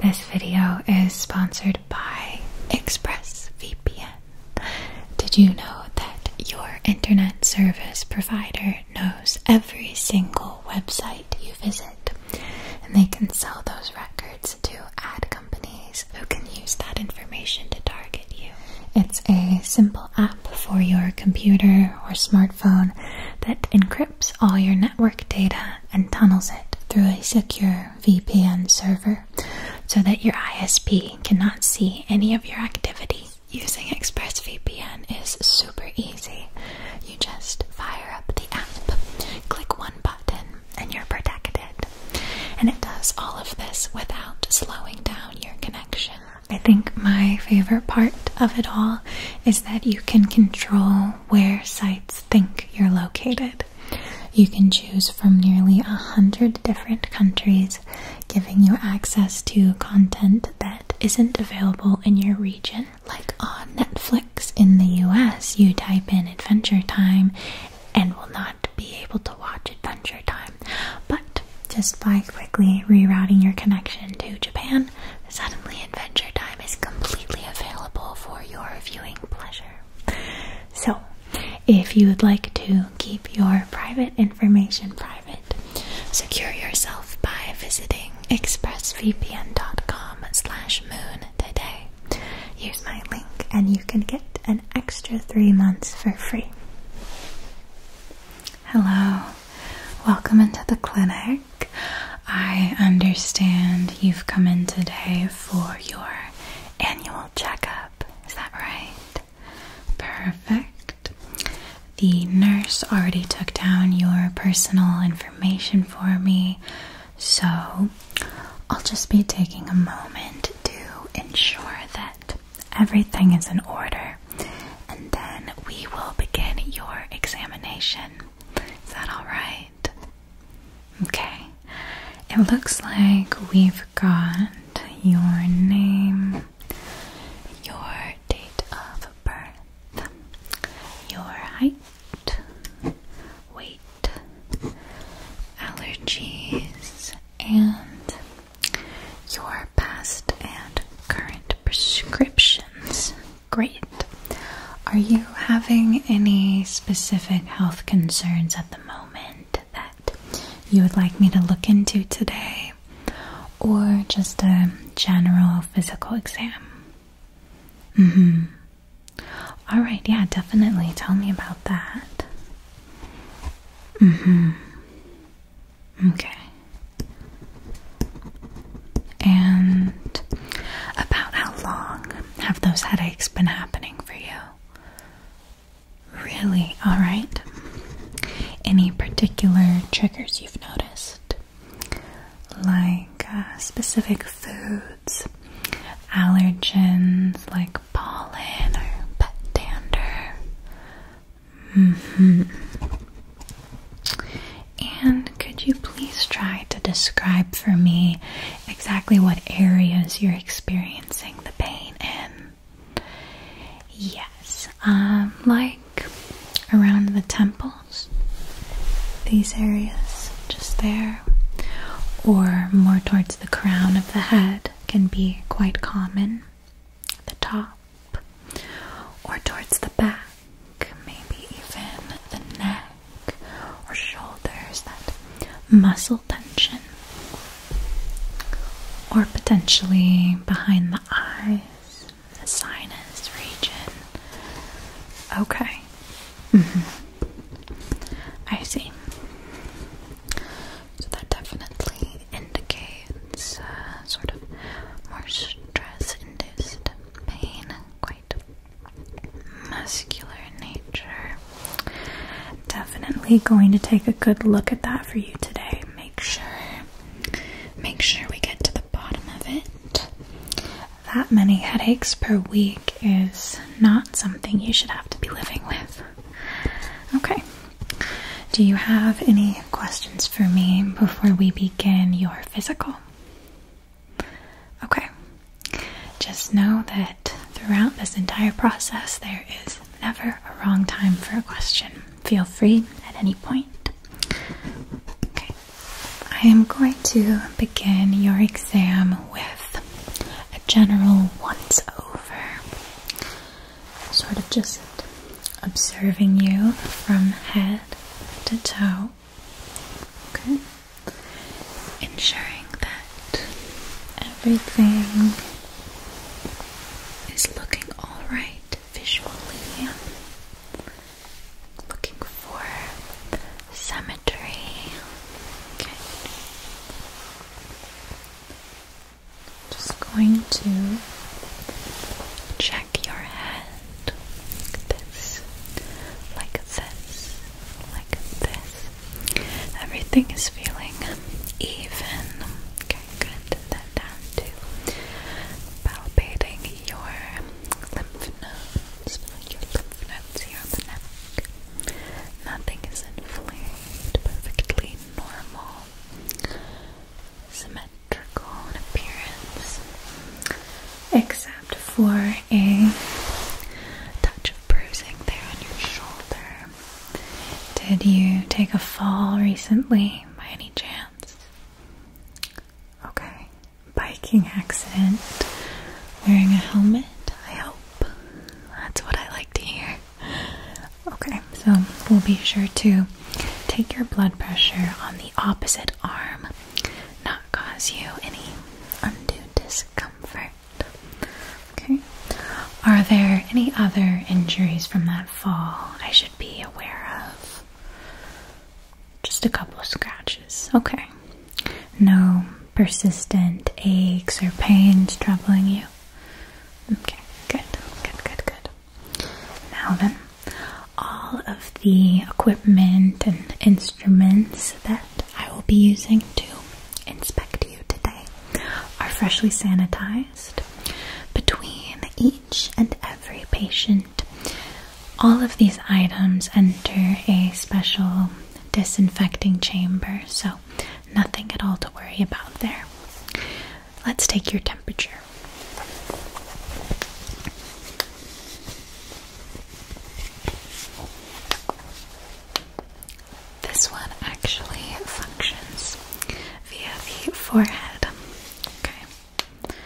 This video is sponsored by ExpressVPN. Did you know that your internet service provider knows every single website you visit? And they can sell those records to ad companies who can use that information to target you. It's a simple app for your computer or smartphone that encrypts all your network data and tunnels it through a secure VPN server so that your ISP cannot see any of your activity. Using ExpressVPN is super easy. You just fire up the app, click one button, and you're protected. And it does all of this without slowing down your connection. I think my favorite part of it all is that you can control where sites think you're located. You can choose from nearly a hundred different countries, giving you access to content that isn't available in your region. Like on Netflix in the US, you type in Adventure Time and will not be able to watch Adventure Time. But just by quickly rerouting your connection to Japan, Suddenly, Adventure Time is completely available for your viewing pleasure. So, if you would like to keep your private information private, secure yourself by visiting expressvpn.com/moon today. Use my link, and you can get an extra three months for free. Hello, welcome into the clinic. I understand you've come in today for your annual checkup. Is that right? Perfect. The nurse already took down your personal information for me, so I'll just be taking a moment to ensure that everything is in order and then we will begin your examination. Is that all right? Okay, it looks like we've got your name, your date of birth, your height, weight, allergies, and your past and current prescriptions. Great. Are you having any specific health concerns at the moment that you would like me to look into today? Or just a general physical exam? Mm hmm. Alright, yeah, definitely. Tell me about that. Mm hmm. Okay. And about how long have those headaches been happening for you? Really? Alright. Any particular triggers you've noticed? Like uh, specific foods, allergens like pollen or pet dander? Mm hmm. And could you please try to describe for me exactly what areas you're experiencing the pain in? Yes, um, like around the temples, these areas just there, or more towards the crown of the head can be quite common, the top, or towards the back maybe even the neck or shoulders, that muscle tension, or potentially behind the eyes, the sinus region. Okay. Mm-hmm. I see. So that definitely indicates uh, sort of more stress induced pain, muscular nature. Definitely going to take a good look at that for you today. Make sure make sure we get to the bottom of it. That many headaches per week is not something you should have to be living with. Okay. Do you have any questions for me before we begin your physical? Okay, just know that throughout this entire process, there is never a wrong time for a question. Feel free at any point. Okay, I am going to begin your exam with a general once over, sort of just observing you from head to toe. Okay. Ensuring that everything is looking alright visually. Looking for symmetry. Okay. Just going to check your hand like this, like this, like this. Everything is feeling even. Okay, good. Then down to palpating your lymph nodes. Your lymph nodes here on the neck. Nothing is inflamed, perfectly normal, symmetrical appearance. Except tapped for a touch of bruising there on your shoulder. Did you take a fall recently by any chance? Okay. Biking accident. Wearing a helmet, I hope. That's what I like to hear. Okay, so we'll be sure to take your blood pressure on the opposite arm not cause you any undue discomfort. Okay. Are there any other injuries from that fall I should be aware of? Just a couple of scratches. Okay. No persistent aches or pains troubling you? Okay, good, good, good, good. Now then, all of the equipment and instruments that I will be using to inspect you today are freshly sanitized. Between each and every patient, all of these items enter a special disinfecting chamber, so nothing at all to worry about there. Let's take your temperature. This one actually functions via the forehead. Okay.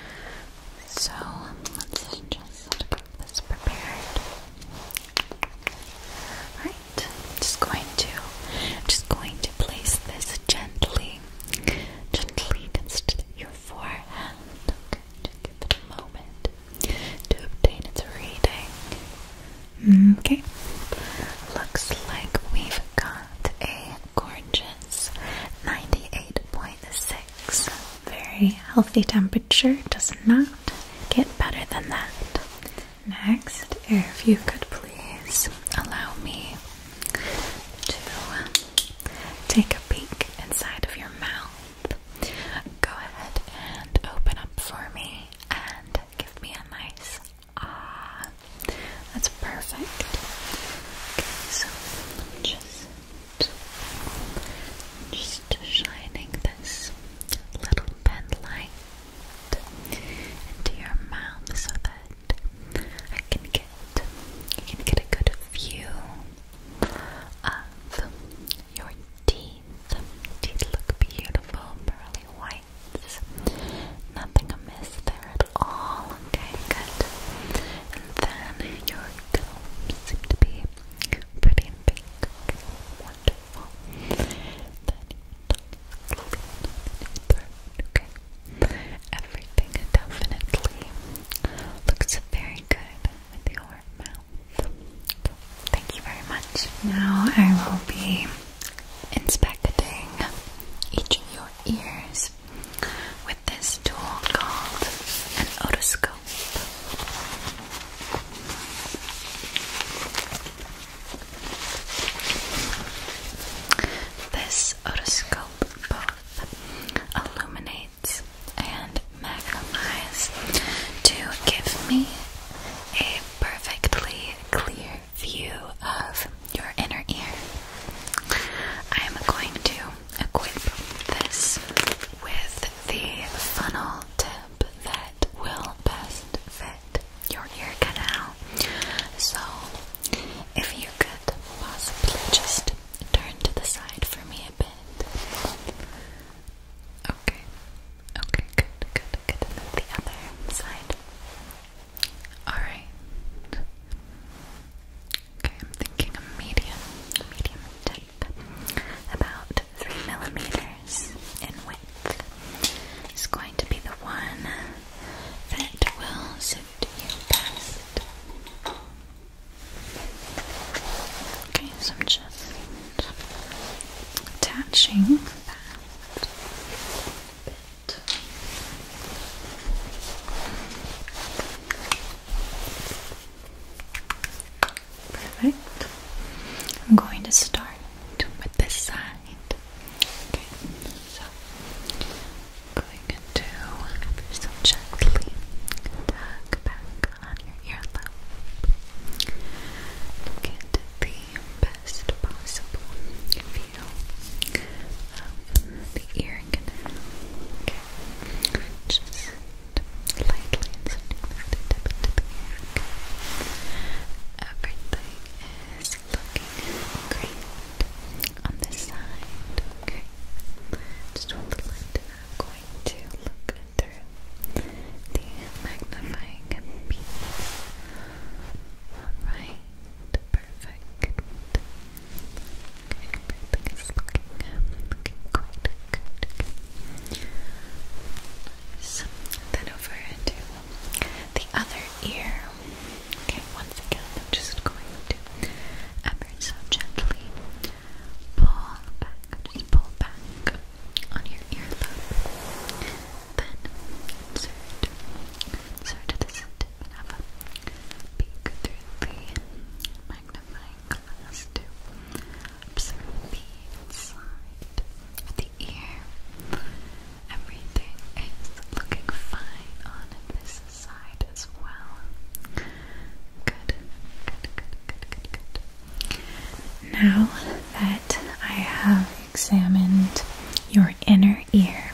So let's just get this prepared. Alright, just going to just going to place this gently. Gently against your forehead. Okay. Just give it a moment to obtain its reading. Okay. Looks like we've got a gorgeous 98.6. Very healthy temperature. Does not get better than that. Next, if you could please allow me to take a pink inside of your mouth. Go ahead and open up for me and give me a nice ah. That's perfect. Okay, so just just shining this little pen into your mouth so that I can get I can get a good view of your teeth. Teeth look beautiful, pearly whites. Nothing amiss there at all. Okay, good. And then your gums seem to be pretty big. wonderful. Then your tongue, throat, okay. Everything definitely looks very good with your mouth. thank you very much. Now I will be inspecting each of your ears with this tool called an otoscope. This otoscope both illuminates and Magnum to give me a perfectly clear view of your inner ear. I am going to equip this with the funnel tip that will best fit your ear canal. So, if you could possibly just turn to the side for me a bit. Okay. Okay, good, good, good. the other side. Alright. Okay, I'm thinking a medium, medium tip. About three millimeters in width. Is going to be the one that will suit you best. Okay, so I'm just attaching that bit. Perfect. I'm going to start with this side. Okay, so going to just gently tug back on your earlobe to get the best possible view of the ear canal. Okay. Just lightly inserting the tip into the ear. Everything is looking great on this side. Okay. Just hold the light going to look through the magnifying piece. Alright, perfect. Okay, everything is looking, looking quite good. Then over to the other ear. Okay, once again, I'm just going to so gently. Pull back, pull back on your earlobe. Then insert, insert this tip a peek through the magnifying glass to observe the inside of the ear. Everything is looking fine on this side as well. Good, good, good, good, good, good. Now that I have examined your inner ear,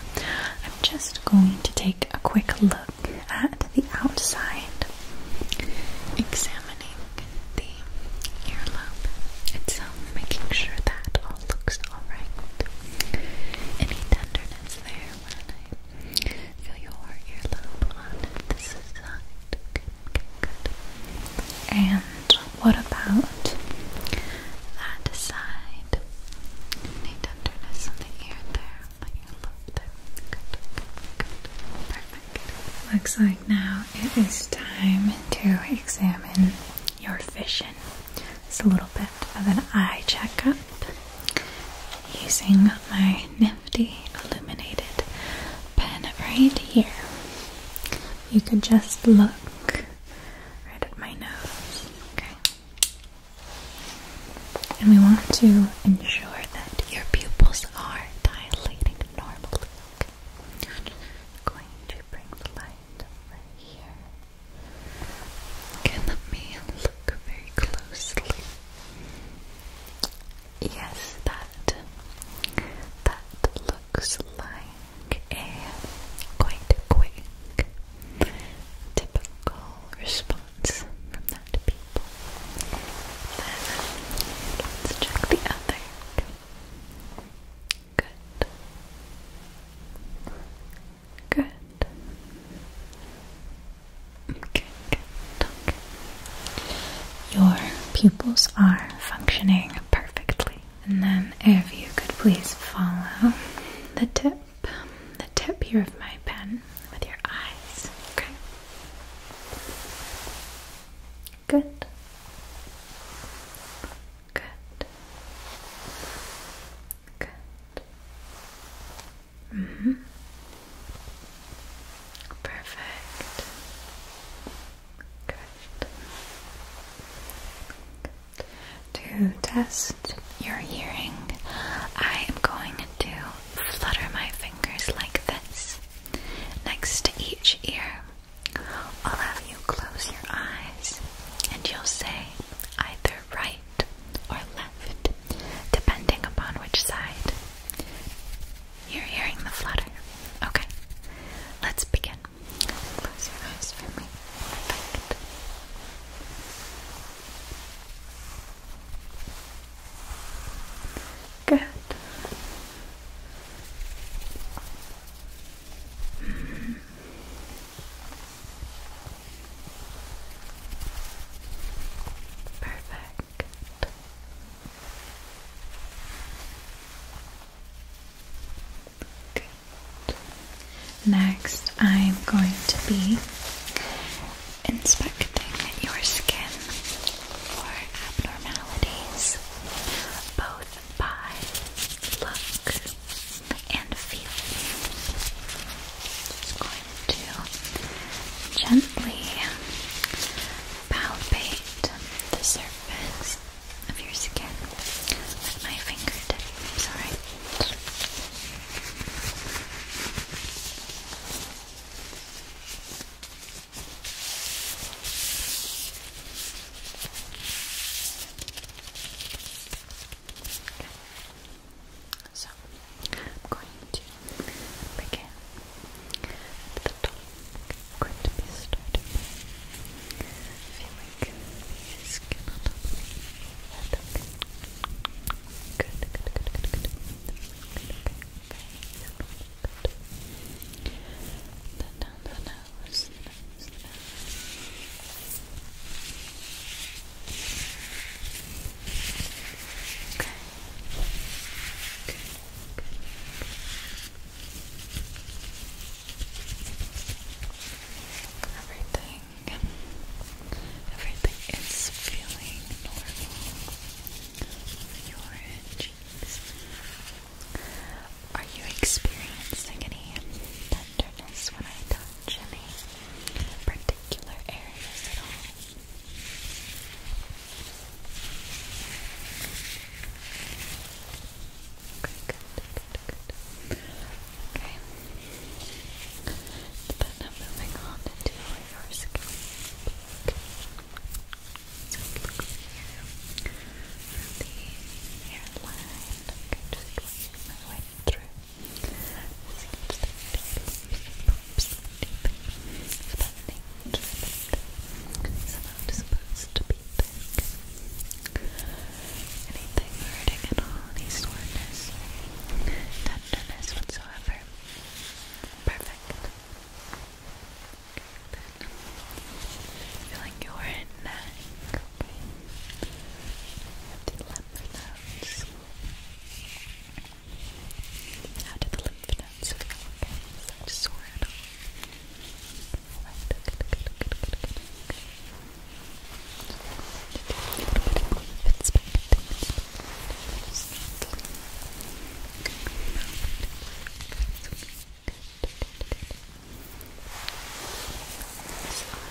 I'm just going to take a quick look at the outside, examining the earlobe itself, making sure that all looks alright. Any tenderness there? And what about that side? Any tenderness on the ear there, on your earlobe there. good, good. Perfect. Looks like now it is time to examine your vision. It's a little bit of an eye checkup using my nifty illuminated pen right here. You could just look right at my nose, okay? And we want to ensure that your pupils are dilating normally. Okay? I'm going to bring the light over here. Okay, let me look very closely. Yes, that that looks like a quite quick typical response from that people. let's check the other. Good. Good. Okay, Okay. Your pupils are functioning perfectly. And then, if you could please follow the tip, the tip here of my pen with your eyes. Okay. Good. Good. Good. Mm-hmm. Perfect. Good. To test your hearing, I am going to flutter my fingers like this next to each ear. I'll have you close your eyes and you'll say either right or left, depending upon which side you're hearing the flutter. Okay, let's begin. Close your eyes for me. Perfect. Good. Hmm. Perfect. Next, I'm going to be inspecting your skin for abnormalities, both by look and feel. Just going to gently palpate the surface of your skin with my fingertips, alright? So I'm going to begin the top. going to be starting feeling the skin on top of Good, good, good, good, good. good Good. Then down the nose. Okay. Everything, everything is feeling normal your cheeks. Are you experiencing any tenderness when I touch? touch any particular areas at all? Okay, good, good, good. Okay. But now moving on to your scalp. So here. the hairline. Okay, just going through. It's supposed to be big. Anything hurting at all, any soreness, tenderness whatsoever. Perfect. Good. Feeling your neck. Okay. Have to lymph nodes. How do the lymph nodes feel? Okay, is that sore good, good, good, good, good, good. Okay. Good, good, good. This arm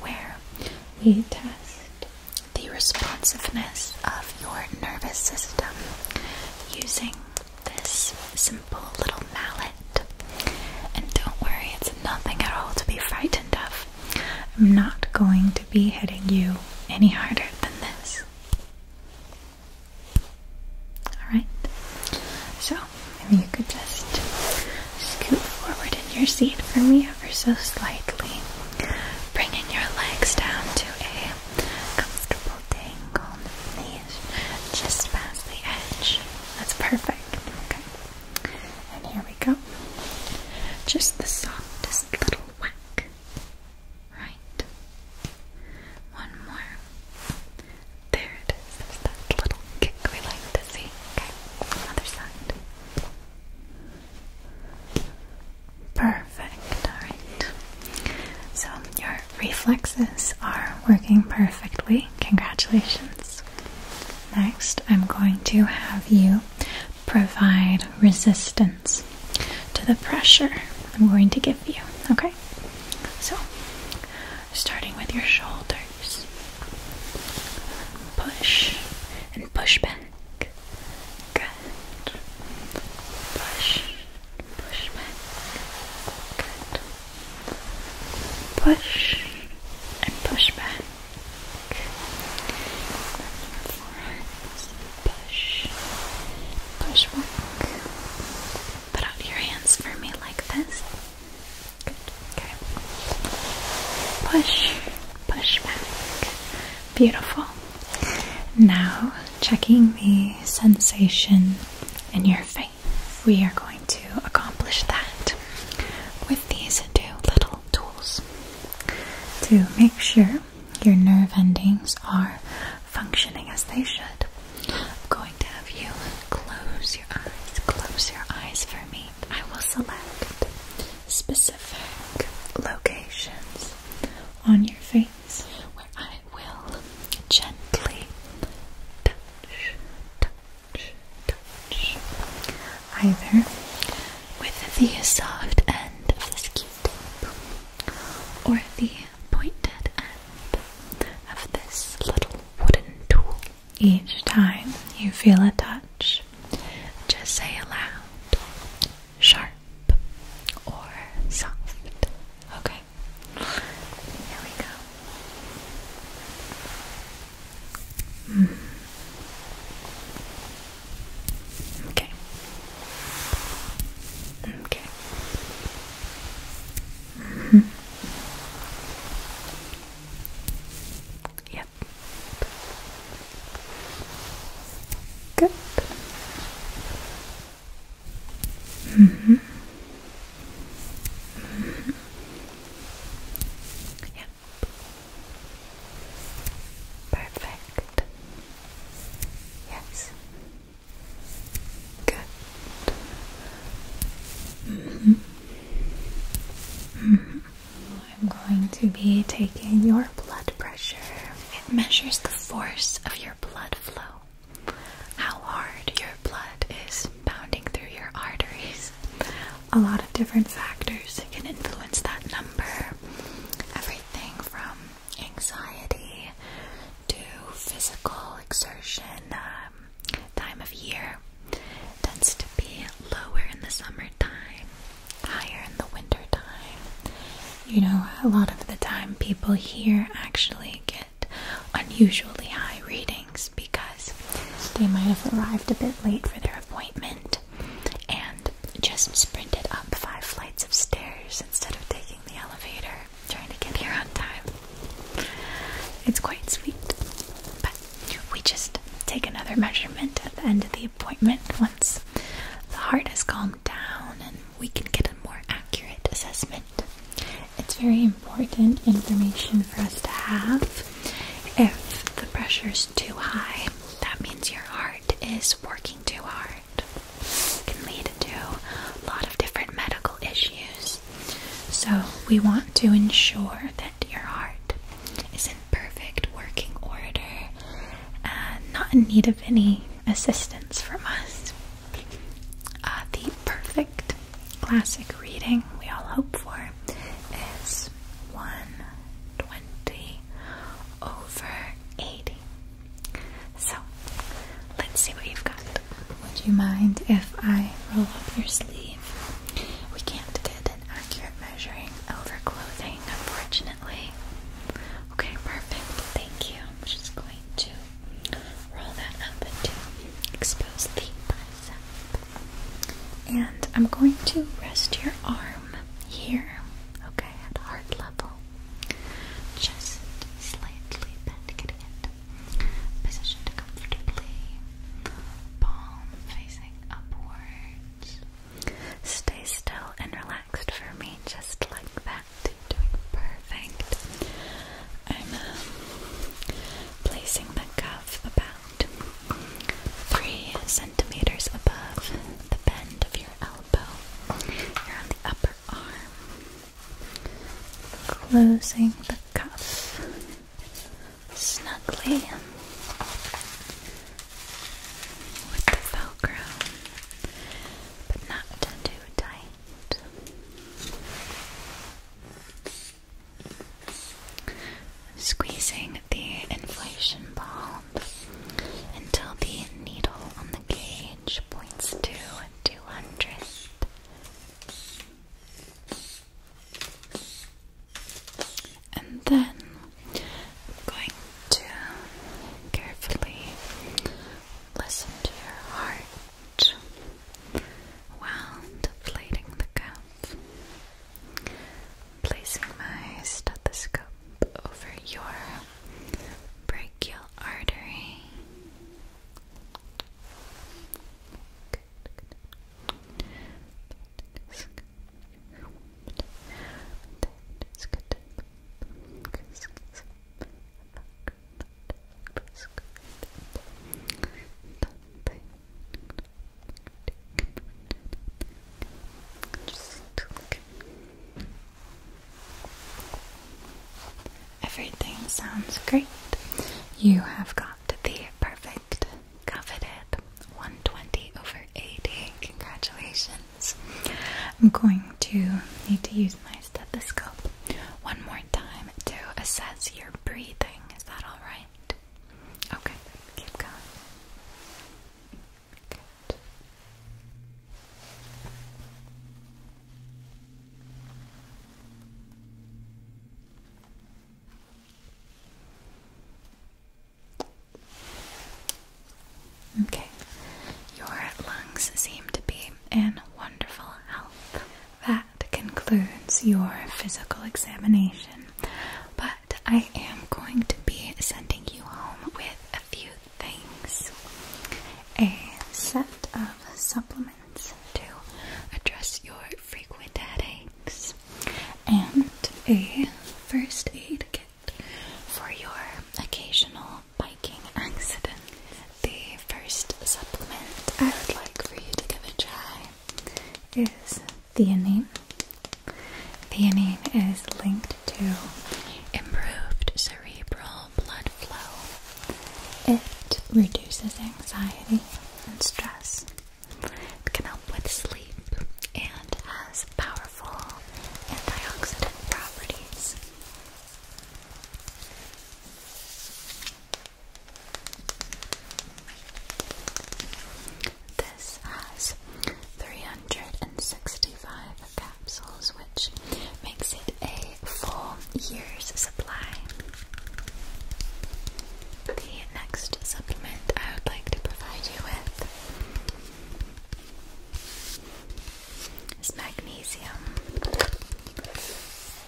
where we test the responsiveness of your nervous system using this simple little mallet. And don't worry, it's nothing at all to be frightened of. I'm not going to be hitting you any harder than this. Alright, so maybe you could just Scoot forward in your seat for me ever so slightly, bringing your legs down to a comfortable dangle, knees just past the edge. That's perfect. Okay. And here we go. Just the softest little whack. Right. One more. There it is. that little kick we like to see. Okay. Other side. Perfect, alright. So your reflexes are working perfectly. Congratulations. Next, I'm going to have you provide resistance to the pressure I'm going to give you, okay? So, starting with your shoulder. Push and push back. Good. Push, push back. Good. Push and push back. Put out your hands for me like this. Okay. Push, push back. Beautiful. Now, checking the sensation in your face. We are going to accomplish that with these two little tools to make sure your nerve endings are functioning as they should. I'm going to have you close your eyes. Close your eyes for me. I will select specific locations on your face where I will gently touch, touch, touch, either with the soft end of this q or the pointed end of this little wooden tool. Each time you feel a touch, just say aloud, sharp or soft. Okay, here we go. Mm. Okay. Okay. Mm tip. Good. hmm. -hmm. Yep. Perfect. Yes. Good. -hmm. -hmm. I'm going to be taking your blood pressure. It measures the force of your blood flow, how hard your blood is pounding through your arteries. A lot of different factors can influence that number. Everything from anxiety to physical exertion, um, time of year tends to be lower in the summertime, higher in the wintertime. You know, a lot of the time people here actually get unusually high readings because they might have arrived a bit late for their appointment and just sprinted up five flights of stairs instead of taking the elevator, trying to get here on time. It's quite sweet, but we just take another measurement at the end of the appointment once the heart has calmed down and we can get a more accurate assessment. It's very important information for us to have. If the pressure is too high, that means your heart is working too hard. It can lead to a lot of different medical issues. So, we want to ensure that your heart is in perfect working order and not in need of any assistance from us. Uh, the perfect classic reading we all hope for is 120 over 80. So, let's see what you've got. Would you mind if I roll up your sleeve we can't get an accurate measuring over clothing, unfortunately. Okay, perfect. Thank you. I'm just going to roll that up to expose the bicep. And I'm going to rest your arm here, okay, at heart level. Just slightly bend, getting it positioned comfortably palm facing upwards. Stay still and relaxed for me, just like that. Doing perfect. I'm um, placing the cuff about three centimeters above the bend of your elbow. You're on the upper arm. Closing the cuff snugly with the Velcro, but not too tight. Squeezing the inflation bulb until the needle on the gauge points to 200. And then I'm going to carefully listen to your heart while deflating the cup. Placing my stethoscope over your brachial artery. Everything sounds great. You have got the perfect coveted 120 over 80. Congratulations. I'm going to need to use my stethoscope one more time to assess your breathing. Is that alright? Okay, keep going. Good. Okay, your lungs seem to be in wonderful health. That concludes your physical examination, but I am going to be sending you home with a few things a set of supplements to address your frequent headaches and a first aid kit for your occasional biking accident. The first supplement I would like for you to give a try is theanine. Theanine is linked to improved cerebral blood flow. It reduces anxiety and stress can help with sleep and has powerful antioxidant properties. This has 365 capsules, which makes it a full year's supply. The next supplement I would like to provide you with is magnesium.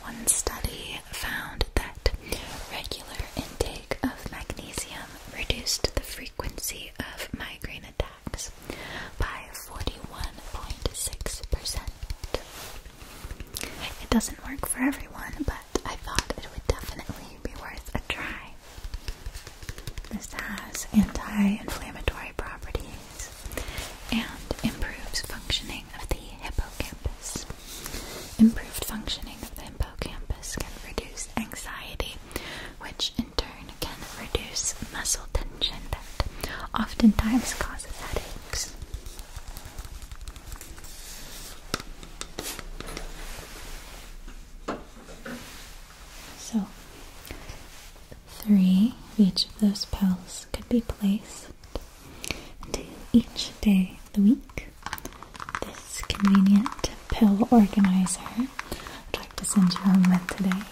One study found that regular intake of magnesium reduced the frequency of migraine attacks by 41.6%. It doesn't work for everyone, but I thought it would definitely be worth a try. This has anti-inflammatory properties and improves functioning of the hippocampus. Improved functioning of the hippocampus can reduce anxiety, which in turn can reduce muscle tension that oftentimes causes headaches. So, three of each of those pills could be placed into each day of the week. This convenient pill organizer I'd like to send you home with today.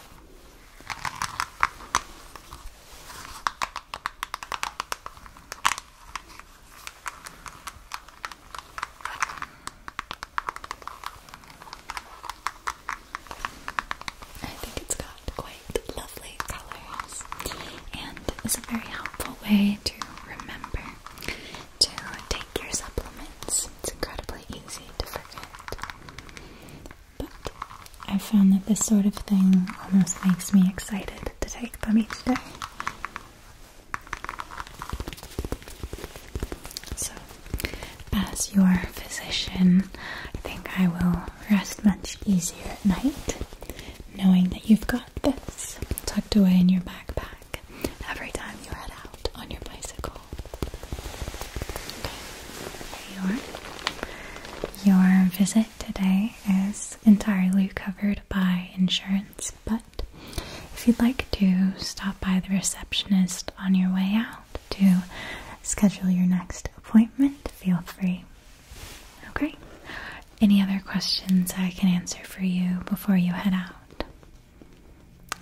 I think it's got quite lovely colors and is a very helpful way to remember to take your supplements. It's incredibly easy to forget. But I found that this sort of thing almost makes me excited to take cake me today. So, as your physician, I think I will rest much easier at night knowing that you've got this tucked away in your backpack every time you head out on your bicycle. Okay, Your visit today is entirely covered by insurance, but if you'd like to stop by the receptionist on your way out to schedule your next appointment, feel free. Okay? Any other questions I can answer for you before you head out?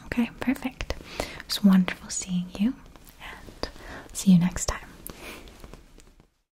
Okay, perfect. It was wonderful seeing you, and see you next time.